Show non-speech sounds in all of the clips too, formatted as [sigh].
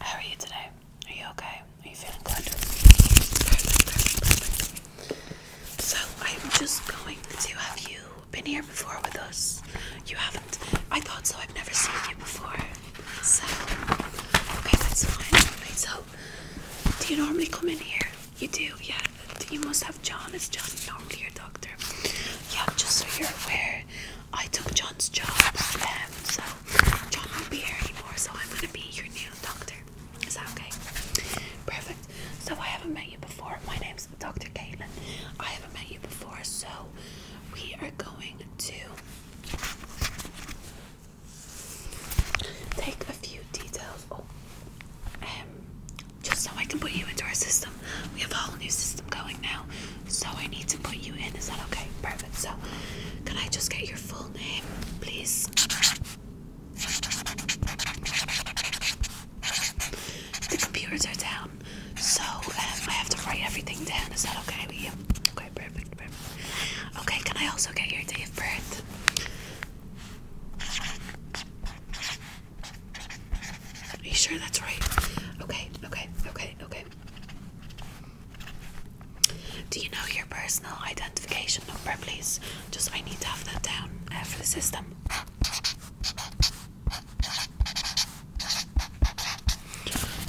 How are you today? Are you okay? Are you feeling good? So I'm just going to have you been here before with us. You haven't. I thought so. I've never seen you before. So okay, that's fine. so do you normally come in here? You do, yeah. You must have John. Is John normally your doctor? Yeah, just so you're aware, I took John's job, um, so John won't be here anymore. So I'm gonna be your new doctor. Is that okay? Perfect. So I haven't met you before. My name's Dr. Caitlin. I haven't met you before, so we are going to Take a few details. Oh, um, just so I can put you into our system. We have a whole new system going now, so I need to put you in. Is that okay? Perfect. So, can I just get your full name, please? The computers are down, so um, I have to write everything down. Is that okay with you? Okay, perfect. Okay, can I also get your date of birth? Are you sure that's right? Okay, okay, okay, okay. Do you know your personal identification number, please? Just I need to have that down uh, for the system.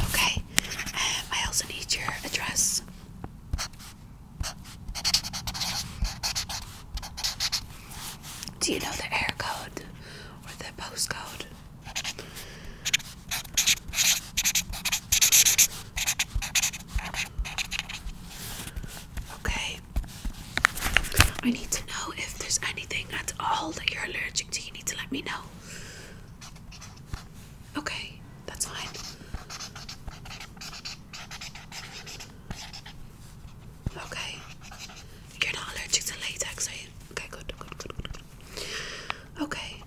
Okay, um, I also need your address. Do you know the air code or the postcode? Okay. I need to know if there's anything at all that you're allergic to. You need to let me know. Okay, that's fine. Okay. You're not allergic to latex, are you? Okay, good, good, good, good, Okay.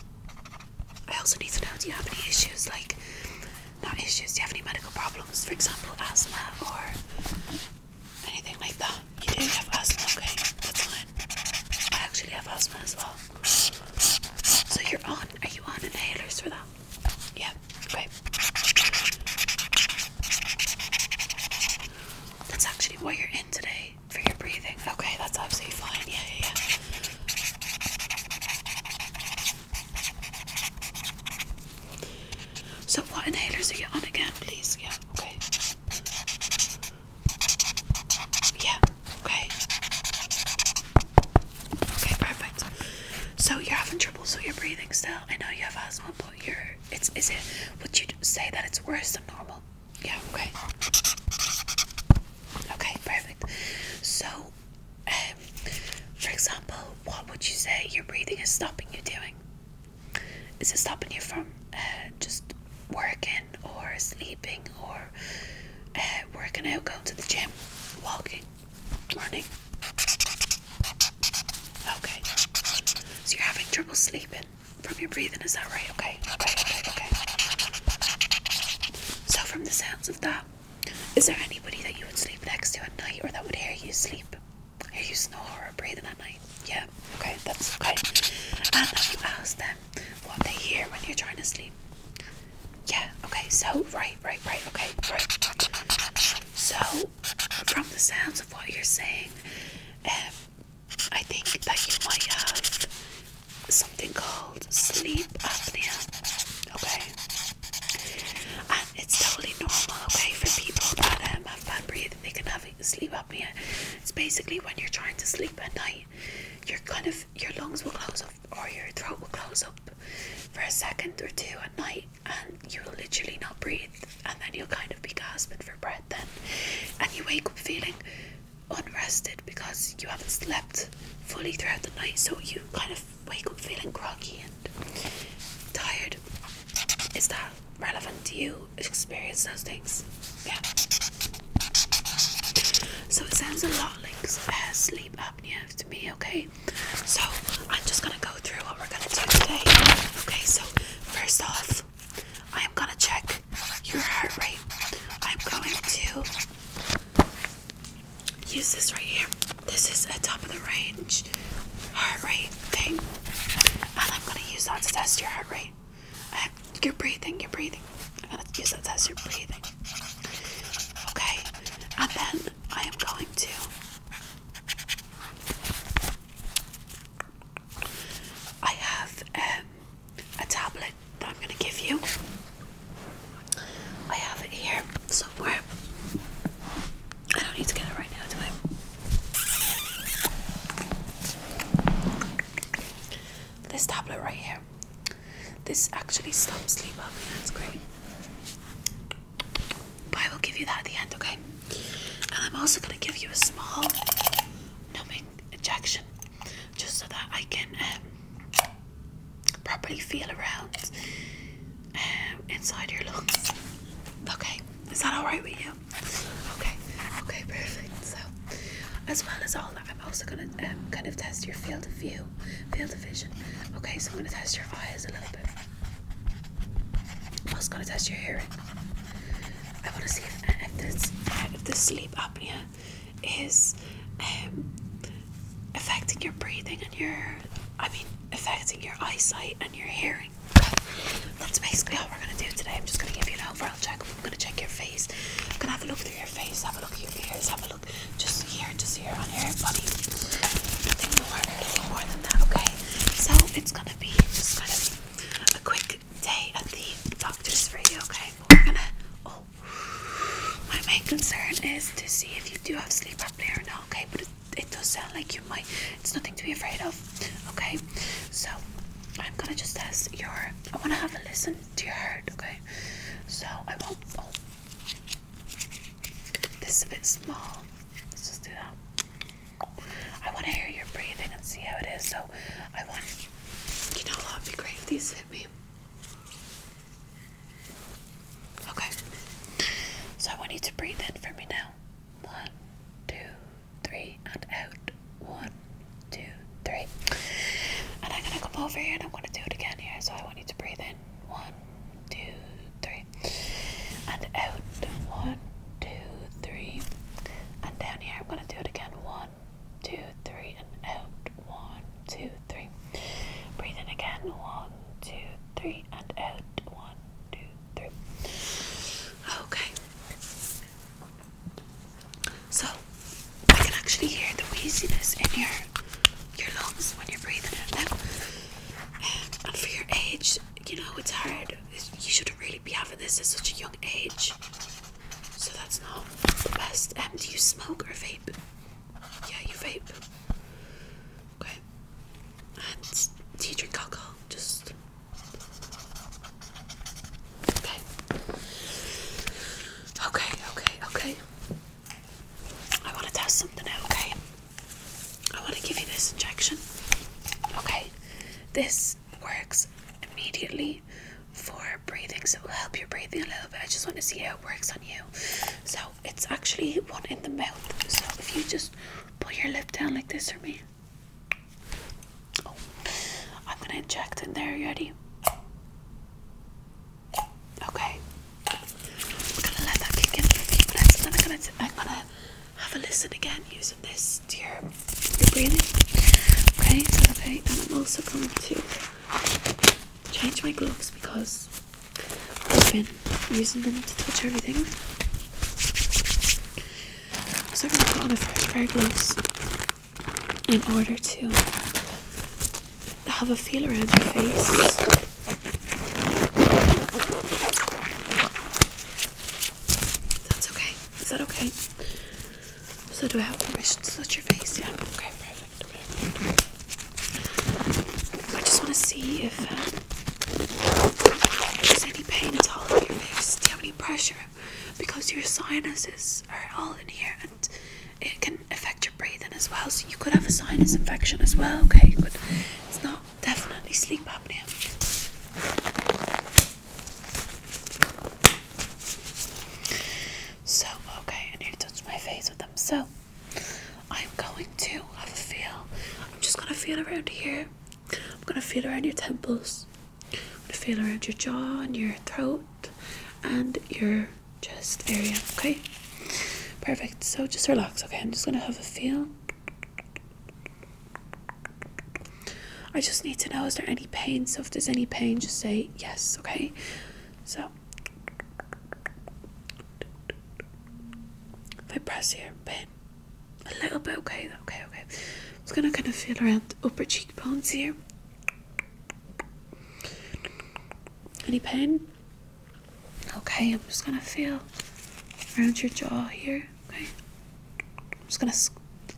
I also need to know do you have any issues, like, not issues, do you have any medical problems? For example, asthma or anything like that? You do have asthma, okay, that's fine. I actually have asthma as well. So you're on? Are you on inhalers for that? Yeah. Okay. That's actually what you're in today for your breathing. Okay, that's absolutely fine. yeah, yeah. So what inhalers are you on again, please? Yeah. Okay. Yeah. Okay. Okay, perfect. So you're having trouble, so you're breathing still. I know you have asthma, but you're. It's. Is it? Would you say that it's worse than normal? Yeah. Okay. Okay, perfect. So, um, for example, what would you say your breathing is stopping you doing? Is it stopping you from uh, just working or sleeping or uh, working out, going to the gym, walking, running. Okay. So you're having trouble sleeping from your breathing, is that right? Okay. Okay, okay, okay. So from the sounds of that, is there anybody that you would sleep next to at night or that would hear you sleep? Hear you snore or breathe at night? Yeah, okay, that's okay. And I would ask them what they hear when you're trying to sleep. Yeah, okay, so right, right, right, okay, So from the sounds of what you're saying, um, I think that you might have something called sleep apnea. Okay. And it's totally normal, okay, for people that um, have bad breathing, they can have sleep apnea. It's basically when you're trying to sleep at night, you're kind of your lungs will close off or your throat will close up for a second or two at night and you'll literally not breathe and then you'll kind of be gasping for breath then and you wake up feeling unrested because you haven't slept fully throughout the night so you kind of wake up feeling groggy and tired. Is that relevant to you? Experience those things. Yeah. So it sounds a lot like uh, sleep apnea to me, okay? So I'm just gonna go through what we're gonna do today. Okay, so first off, I'm gonna check your heart rate. I'm going to use this right here. This is a top of the range heart rate thing, and I'm gonna use that to test your heart rate. Um, you're breathing, you're breathing. I'm gonna use that to test your breathing. Okay, and then I am going to I have um, a tablet that I'm going to give you. I have it here somewhere. I don't need to get it right now, do I? This tablet right here. This actually stops sleep apnea. That's great. But I will give you that at the end, okay? And I'm also gonna give you a small numbing injection, just so that I can um, properly feel around um, inside your lungs. Okay, is that all right with you? Okay, okay, perfect. So as well as all that. I'm also gonna um, kind of test your field of view, field of vision. Okay, so I'm gonna test your eyes a little bit. I'm also gonna test your hearing. I want to see if, uh, if the uh, sleep apnea is um, affecting your breathing and your, I mean, affecting your eyesight and your hearing. That's basically all we're gonna do today. I'm just gonna give you an overall check. I'm gonna check your face. I'm gonna have a look through your face. Have a look at your ears. Have a look just here, just here on your buddy. Nothing more, nothing more than that, okay? So it's gonna be just gonna be a quick day at the doctor's for you, okay? we're gonna oh my main concern is to see if you do have sleep apnea or not, okay? But it does sound like you might it's nothing to be afraid of, okay? So I'm gonna just test your I wanna have a listen to your heart, okay? So I won't. Oh. This is a bit small. Let's just do that. I want to hear your breathing and see how it is. So I want. You know what would be great if these hit me? Okay. So I want you to breathe in for me now. One, two, three, and out. One, two, three. And I'm gonna come over here and I'm gonna do it again here. So I want you to breathe in. One, two, three. And out. One, two, three. And down here I'm gonna do it again. One, two, three, and out. One, two, three. Breathe in again. One, two, three, and out. One, two, three. Okay. So I can actually hear the wheeziness in your your lungs when you're breathing in them. And, for your age, you know it's hard. you shouldn't really be having this at such a young age. So that's not the best. And um, do you smoke or vape? Yeah, you vape. Okay. And do you drink alcohol? Just Okay. Okay, okay, okay. I want to test something out, okay? I want to give you this injection. Okay. This works immediately for breathing, so it will help your breathing a little bit. I just want to see how it works on you. So it's actually one in the mouth. So if you just put your lip down like this for me. Oh, I'm gonna inject in there, ready? Okay. I'm gonna have a listen again using this to your, breathing. Okay, okay? And I'm also going to change my gloves because I've been using them to touch everything. So I'm gonna put on a fresh pair of gloves in order to have a feel around your face. That's okay. Is that okay? So do I have permission to touch your face? Yeah. Okay. Perfect. I just want to see uh, if there's any pain at all in your face. Do you have any pressure? Because your sinuses are all in here, it can affect your breathing as well. So you could have a sinus infection as well. Okay, but it's not definitely sleep apnea. So okay, I need to touch my face with them. So I'm going to have a feel. I'm just gonna feel around here. I'm gonna feel around your temples feel around your jaw and your throat and your chest area. Okay, perfect. So just relax. Okay, I'm just gonna have a feel. I just need to know is there any pain? So if there's any pain, just say yes. Okay, so. If I press here, a bit, A little bit, okay, okay, okay. I'm just gonna kind of feel around the upper cheekbones here. Any pain? Okay, I'm just gonna feel around your jaw here. Okay, I'm just gonna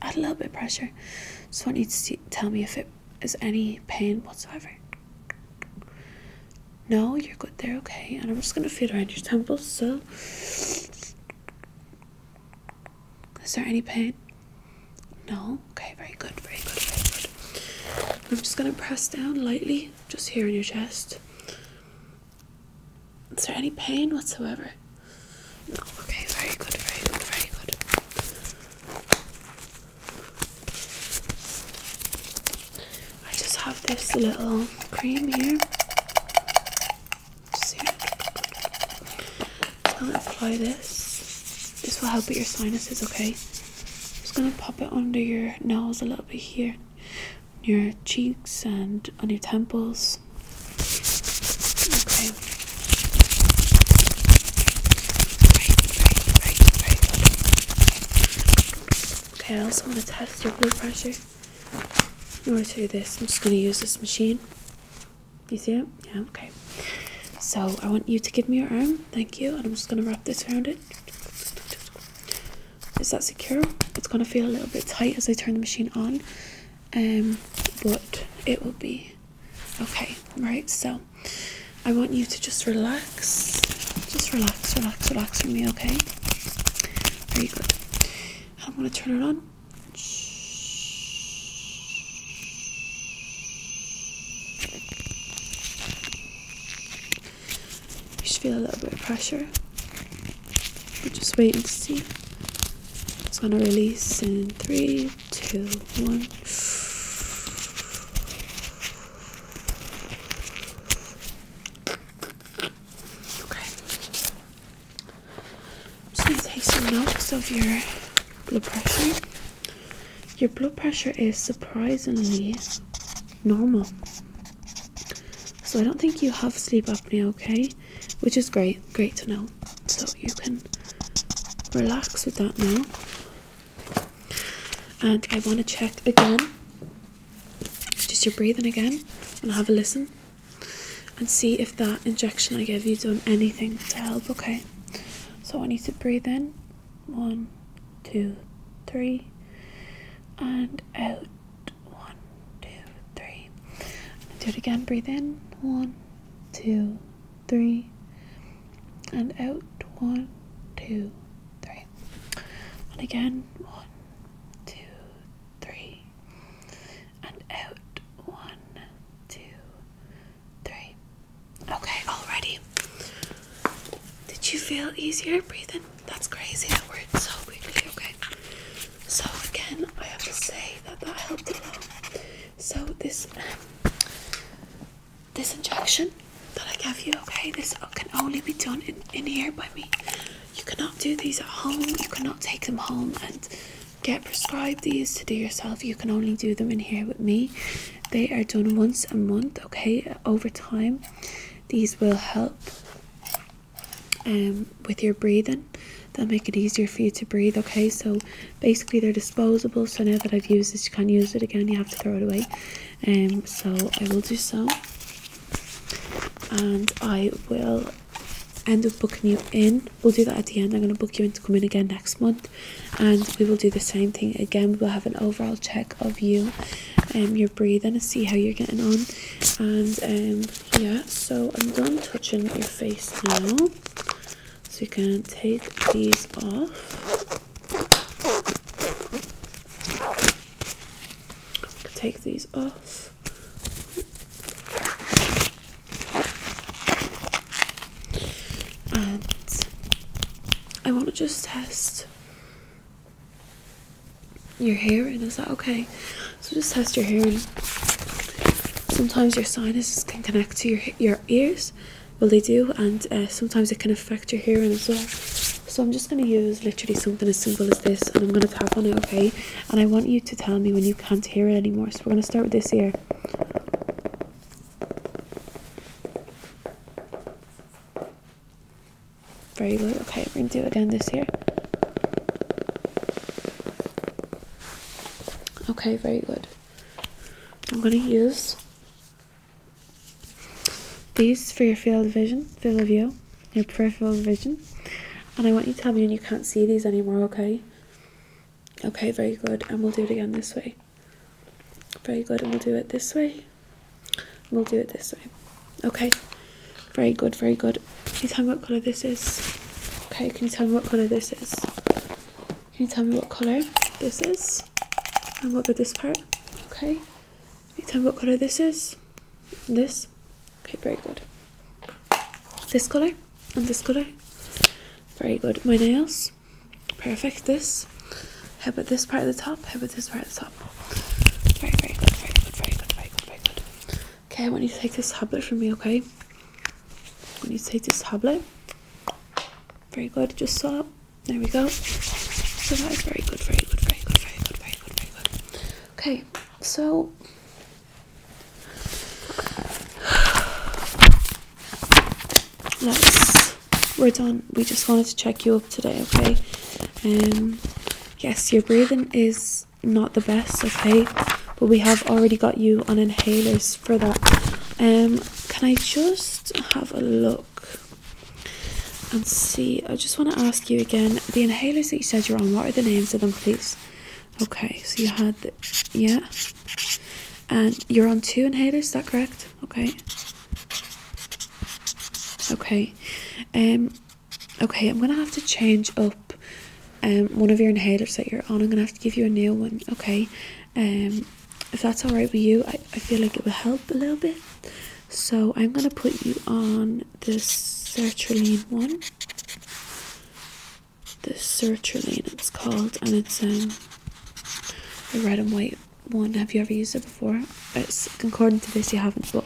add a little bit of pressure. Just want you to tell me if it is any pain whatsoever. No, you're good there. Okay, and I'm just gonna feel around your temples. So, is there any pain? No? Okay, very good, very good, very good. I'm just gonna press down lightly, just here in your chest. Is there any pain whatsoever? No, okay, very good, very good, very good. I just have this little cream here. Just here. I'm gonna apply this this will help with your sinuses, okay? I'm just gonna pop it under your nose a little bit here, your cheeks and on your temples. Okay. Right, right, right, very good. Okay, I also want to test your blood pressure. In order to do this, I'm just going to use this machine you see it? Yeah, okay. So I want you to give me your arm. Thank you. And I'm just going to wrap this around it. Is that secure? It's going to feel a little bit tight as I turn the machine on. Um, but it will be okay, right? So I want you to just relax. Just relax, relax, relax for me, okay? Very good. I'm going to turn it on. You should feel a little bit of pressure. We're just waiting to see. It's gonna release in three, two, one. Please take some notes of your blood pressure. Your blood pressure is surprisingly normal. So I don't think you have sleep apnea, okay? Which is great, great to know. So you can relax with that now. And I want to check again, just your breathing again, and have a listen and see if that injection I gave you done anything to help, okay? So I need to breathe in one, two, three, and out one, two, three. And do it again, breathe in one, two, three, and out one, two, three. And again, one, two, three, and out one, two, three. Okay, already. Did you feel easier breathing? That's crazy. That worked so quickly. Okay. So again, I have to say that that helped a lot. So this um, this injection that I gave you, okay, this can only be done in, in here by me. You cannot do these at home. You cannot take them home and Get prescribed these to do yourself. You can only do them in here with me. They are done once a month, okay? Over time, these will help um, with your breathing. They'll make it easier for you to breathe, okay? So basically, they're disposable. So now that I've used this, you can't use it again. You have to throw it away. Um, so I will do so. And I will end up booking you in We'll do that at the end. I'm going to book you in to come in again next month, and we will do the same thing again. We'll have an overall check of you and um, your breathing and see how you're getting on. And um, yeah, so I'm done touching your face now, so you can take these off. Take these off. And I want to just test your hearing. and is that okay? So just test your hearing. sometimes your sinuses can connect to your your ears. Well, they do, and uh, sometimes it can affect your hearing as well. So I'm just going to use literally something as simple as this, and I'm going to tap on it, okay? And I want you to tell me when you can't hear it anymore. So we're going to start with this ear. Very good. Okay, we're gonna do it again this year. Okay, very good. I'm gonna use these for your field of vision, field of view, your peripheral vision. And I want you to tell me when you can't see these anymore, okay? okay very good and we'll do it again this way very good and we'll do it this way we'll do it this way okay very good very good can you tell me what color this is okay can you tell me what color this is can you tell me what color this is and what about this part okay can you tell me what color this is this okay very good this colour and this colour. Very good. My nails. Perfect. This. How about this part of the top? How about this part of the top? Very, very good. Very good. Very good. Very good. Very good. Okay, I want you to take this tablet from me, okay? I you take this tablet. Very good. Just so. There we go. So that is very good. Very good. Very good. Very good. Very good. Very good. Okay, so that's [sighs] we're done. We just wanted to check you up today, okay? Um yes, your breathing is not the best, okay? But we have already got you on inhalers for that. Um can I just have a look? and see. I just want to ask you again the inhalers that you said you're on, what are the names of them, please? Okay, so you had, the, yeah, and you're on two inhalers. Is that correct? Okay. Okay. Um. Okay, I'm gonna have to change up um one of your inhalers that you're on. I'm gonna have to give you a new one. Okay. Um. If that's all right with you, I I feel like it will help a little bit. So I'm gonna put you on this sertraline one the sertraline it's called and it's um a red and white one have you ever used it before it's according to this you haven't but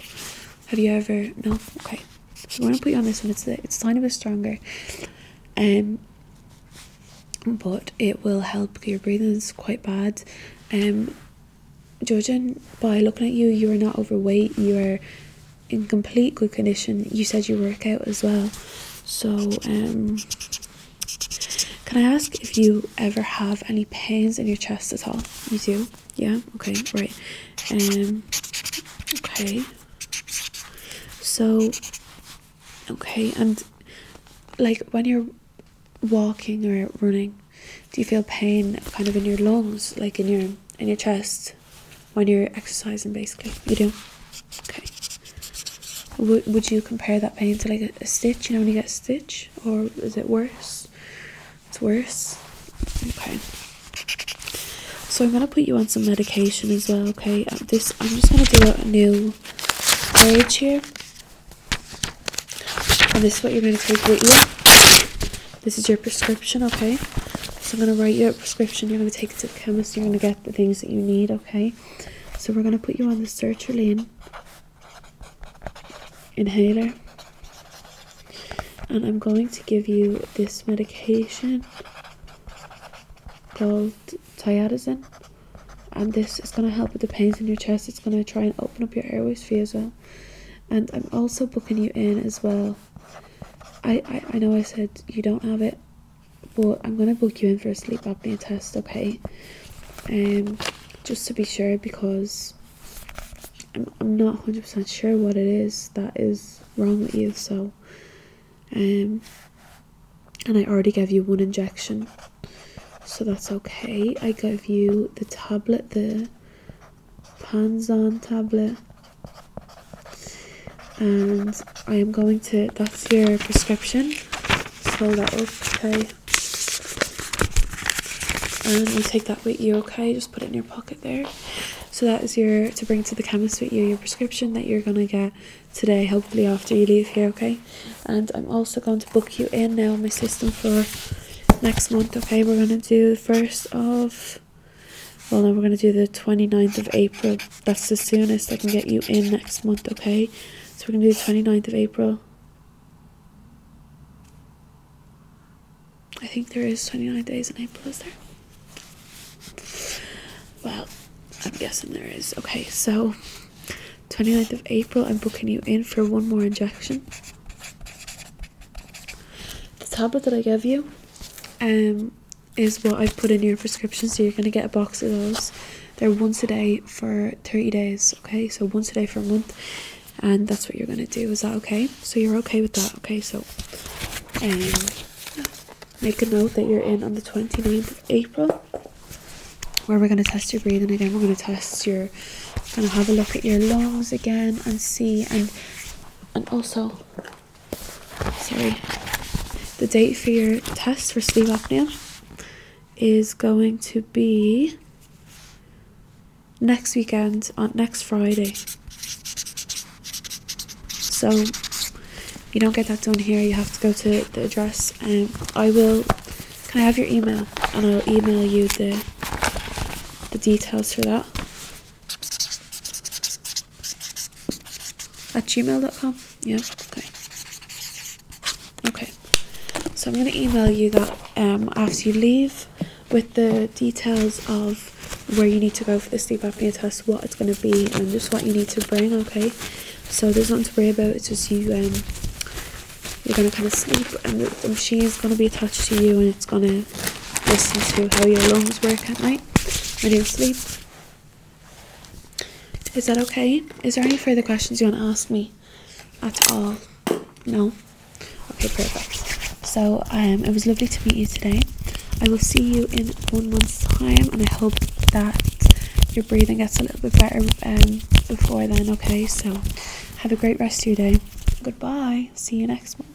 have you ever no okay so i'm gonna put you on this one it's a, it's a tiny bit stronger um but it will help your breathing it's quite bad um judging by looking at you you are not overweight you are in complete good condition. You said you work out as well. So, um, can I ask if you ever have any pains in your chest at all? You do? Yeah? Okay, right. Um, okay. So, okay, and like when you're walking or running, do you feel pain kind of in your lungs, like in your in your chest? when you're exercising basically you do okay w would you compare that pain to like a, stitch you know when you get a stitch or is it worse it's worse okay so i'm going to put you on some medication as well okay um, this i'm just going to do a new page here and this is what you're going to take with you this is your prescription okay so i'm going to write you a prescription you're going to take sticks to chemist, you're going to get the things that you need, okay? So we're going to put you on the sertraline inhaler. And I'm going to give you this medication called thiazidin. And this is going to help with the pains in your chest. It's going to try and open up your airways for you as well. And I'm also booking you in as well I, I, I know I said you don't have it, but I'm going to book you in for a sleep apnea test, okay? And um, just to be sure, because I'm, I'm not 100% sure what it is that is wrong with you, so. Um, and I already gave you one injection, so that's okay. I gave you the tablet, the Panzan tablet, and I am going to that's your prescription so that up okay and you take that with you okay just put it in your pocket there so that is your to bring to the chemist with you your prescription that you're gonna get today hopefully after you leave here okay and I'm also going to book you in now in my system for next month okay we're gonna do the first of well no we're going to do the 29th of april that's the soonest i can get you in next month okay so we're going to do the 29th of april i think there is 29 days in april is there well i'm guessing there is okay so 29th of april i'm booking you in for one more injection the tablet that i gave you um is what I've put in your prescription. So you're going to get a box of those. They're once a day for 30 days, okay? So once a day for a month. And that's what you're going to do. Is that okay? So you're okay with that, okay? So um, make a note that you're in on the 29th of April where we're going to test your breathing again. We're going to test your, going to have a look at your lungs again and see and and also sorry, the date for your test for sleep apnea is going to be next weekend on uh, next Friday. So you don't get that done here, you have to go to the address and um, I will can I have your email and I'll email you the the details for that. At gmail.com? Yeah, okay. Okay. So I'm going to email you that um, after you leave with the details of where you need to go for the sleep apnea test, what it's going to be, and just what you need to bring, okay? So there's nothing to worry about, it's just you, um, you're going to kind of sleep, and the machine is going to be attached to you, and it's going to listen to how your lungs work at night okay? Or do sleep? Is that okay? Is there any further questions you want to ask me at all? No? Okay, perfect. So um, it was lovely to meet you today. I will see you in one month's time, and I hope that your breathing gets a little bit better um, before then, okay? So have a great rest of your day. Goodbye. See you next month.